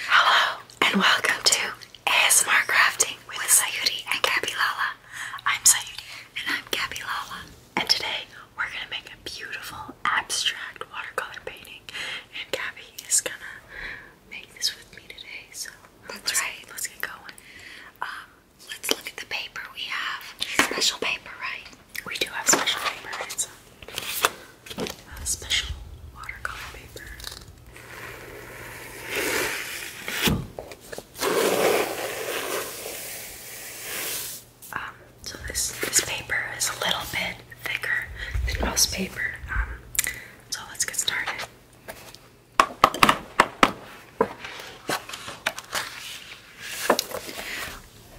Hello and welcome to ASMR Crafting with Sayuri and Gabby Lala. I'm Sayuri and I'm Gabby Lala. And today we're gonna make a beautiful abstract watercolor painting. And Gabby is gonna make this with me today. So that's right. Let's get going. Um, let's look at the paper we have. Special paper, right? We do have special paper, right? uh, special watercolor paper. Um, so this this paper is a little bit thicker than most paper. Um, so let's get started.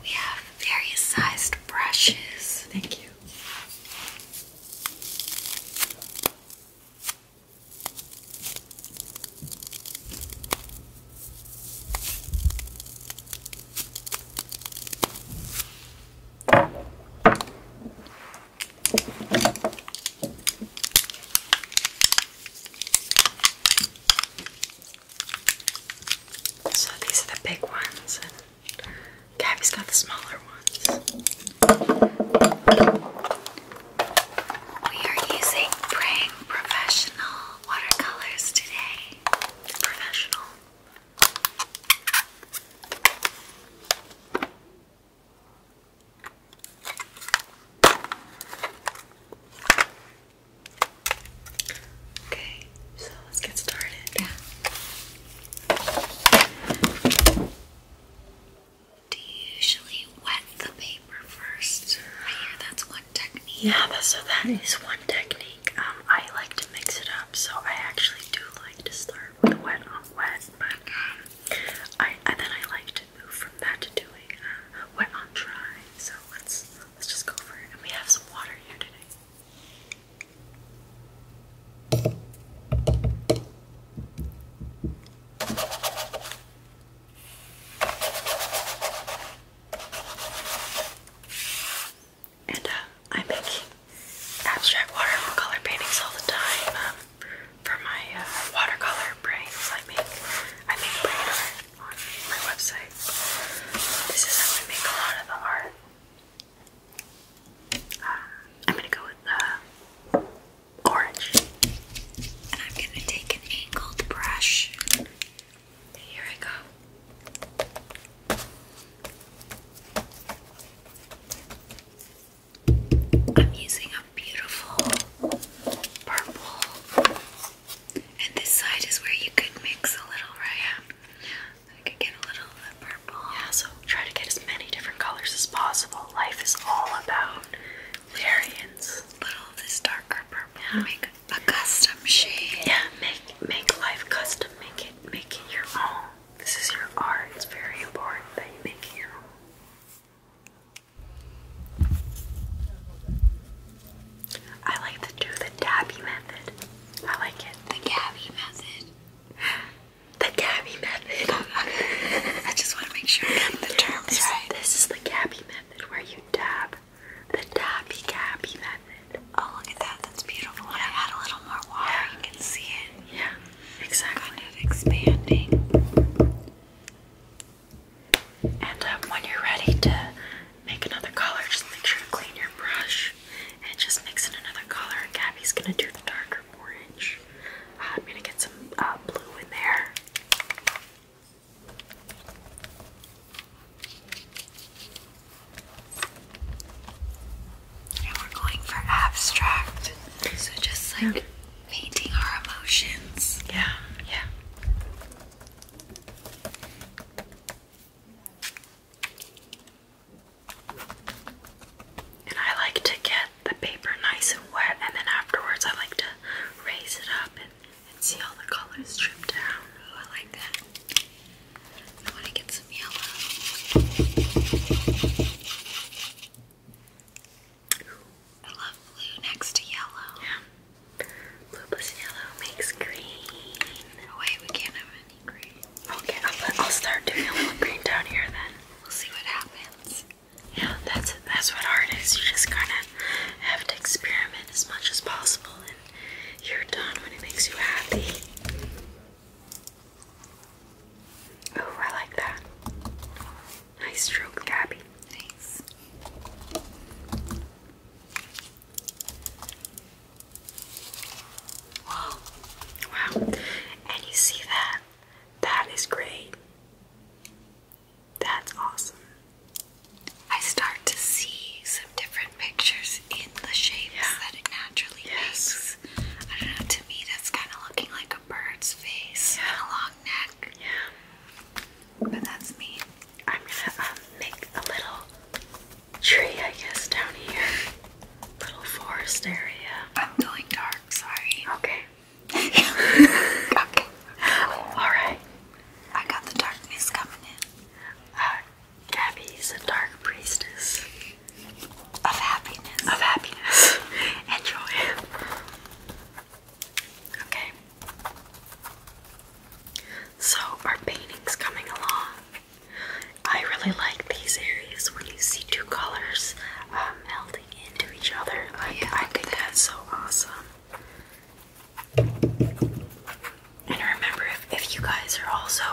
We have various sized brushes. Thank you. So these are the big ones, Gabby's got the smaller ones. We are using Prang Professional watercolors today. Professional. Okay, so let's get started. Yeah. Do you usually wet the paper first? I hear that's one technique. Yeah, so that is one technique. Um, I like to mix it up, so I actually do like to start with wet on um, wet, but um, I and then I like to move from that to doing uh, wet on dry. So let's let's just go for it. And we have some water here today, and uh, i make abstract watercolor paintings all the time um, for my uh, watercolor brains. I make I make on my website. This is how I make a lot of the art. Um, I'm gonna go with the orange. And I'm gonna take an angled brush. Here I go. I'm using a beautiful purple and this side is where you could mix a little, right? I could get a little of the purple. Yeah, so try to get as many different colors as possible. Life is all about variants. little this darker purple. Yeah. Make a custom shade. Yeah, make make life custom. Make it make it your own. This is your art. It's very important that you make it your own. I like to do the dabby method. I like it. The Gabby method. The Gabby method. I just want to make sure I get the terms this, right. This is the Gabby method where you dab. The dabby Gabby method. Oh, look at that. That's beautiful. When I add a little more water, you can see it. Yeah, exactly. Kind of expanding. And um, when you're ready to make another color, just make sure to clean your brush and just mix in another color. And Gabby's gonna do darker orange. Uh, I'm gonna get some uh, blue in there. And we're going for abstract. So just like painting our emotions. Yeah, yeah. And I like to get the paper nice and wet, and then afterwards, I like to raise it up and, see all the colors drip down. I like that. I want to get some yellow. I love blue next to yellow. Yeah. Blue plus yellow makes green. No we can't have any green. Okay, I'll, start doing a little green down here then. We'll see what happens. Yeah, that's that's what art is. You just kind of have to experiment as much as possible, and you're done when it makes you happy. Oh, I like that. Nice stroke, Gabby. Thanks. Wow. Wow. And you see that? That is great. That's awesome. I start to see some different pictures in the shapes that it naturally makes. I don't know, to me that's kind of looking like bird's face and a long neck. Yeah. But that's me. I'm gonna um, make a little tree, I guess, down here. Little forest area. I'm going dark, sorry. Okay. okay. Alright. I got the darkness coming in. Uh, Gabby's a dark priestess. Of happiness. Of happiness. Enjoy. Okay. So our painting's coming along. I really like these areas when you see two colors um, melting into each other. Like, I think that's so awesome. And remember, if, if you guys are also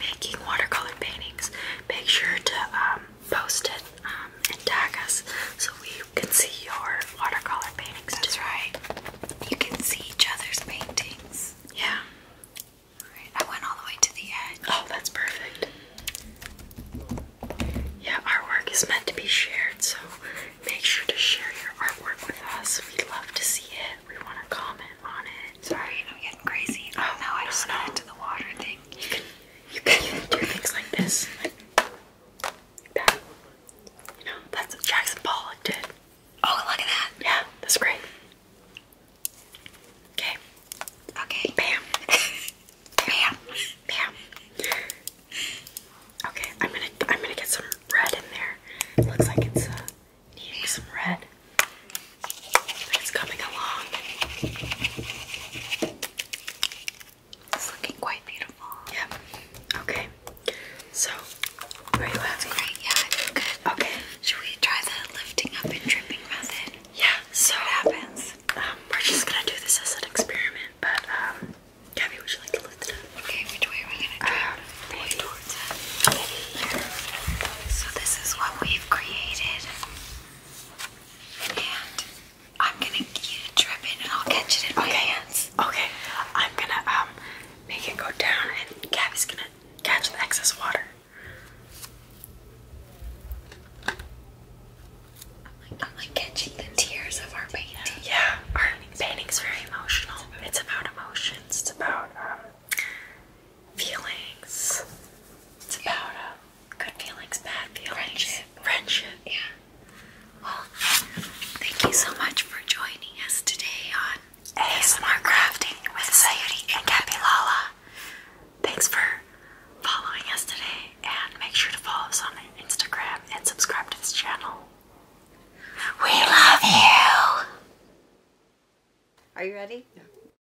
making watercolor paintings, make sure to um, post it um, and tag us so we can see your watercolor paintings. That's right. You can see each other's paintings. Yeah. Alright, I went all the way to the edge. Oh, that's perfect. Yeah, our work is meant to be shared, so make sure to share your artwork with us. We'd love to see it. We want to comment on it. Sorry, I'm getting crazy. Oh, no, I just no. into the water thing you can do things like this, like You know, that's what Jackson Pollock did. Oh, look at that. Yeah, that's great. Okay. Okay. Bam. Bam. Bam. Okay, I'm gonna I'm gonna get some red in there. looks like it's uh, needing some red. it's coming along. It's looking quite beautiful. Yep. Okay. So, are you happy? Yeah, Okay. Should we try the lifting up and dripping method? Yeah. So what happens? Um, we're just gonna do this as an experiment, but um, would you like to lift it up? Okay. Which way are we gonna do um, it? towards it. So this is what we've created. And I'm gonna get it dripping and I'll catch it in my hands. Okay. I'm gonna um make it go down and Gabby's gonna catch the excess water. I'm like catching the tears of our painting. Yeah, our painting's very emotional. It's about emotions. It's about um feelings. It's about a uh, good feelings, bad feelings, friendship, friendship. Yeah. Well, thank you so much for joining us today on ASMR Crafting with Sayuri and Gabby Lala. Thanks for following us today, and make sure to follow us on Instagram and subscribe to this channel. We love you. Are you ready?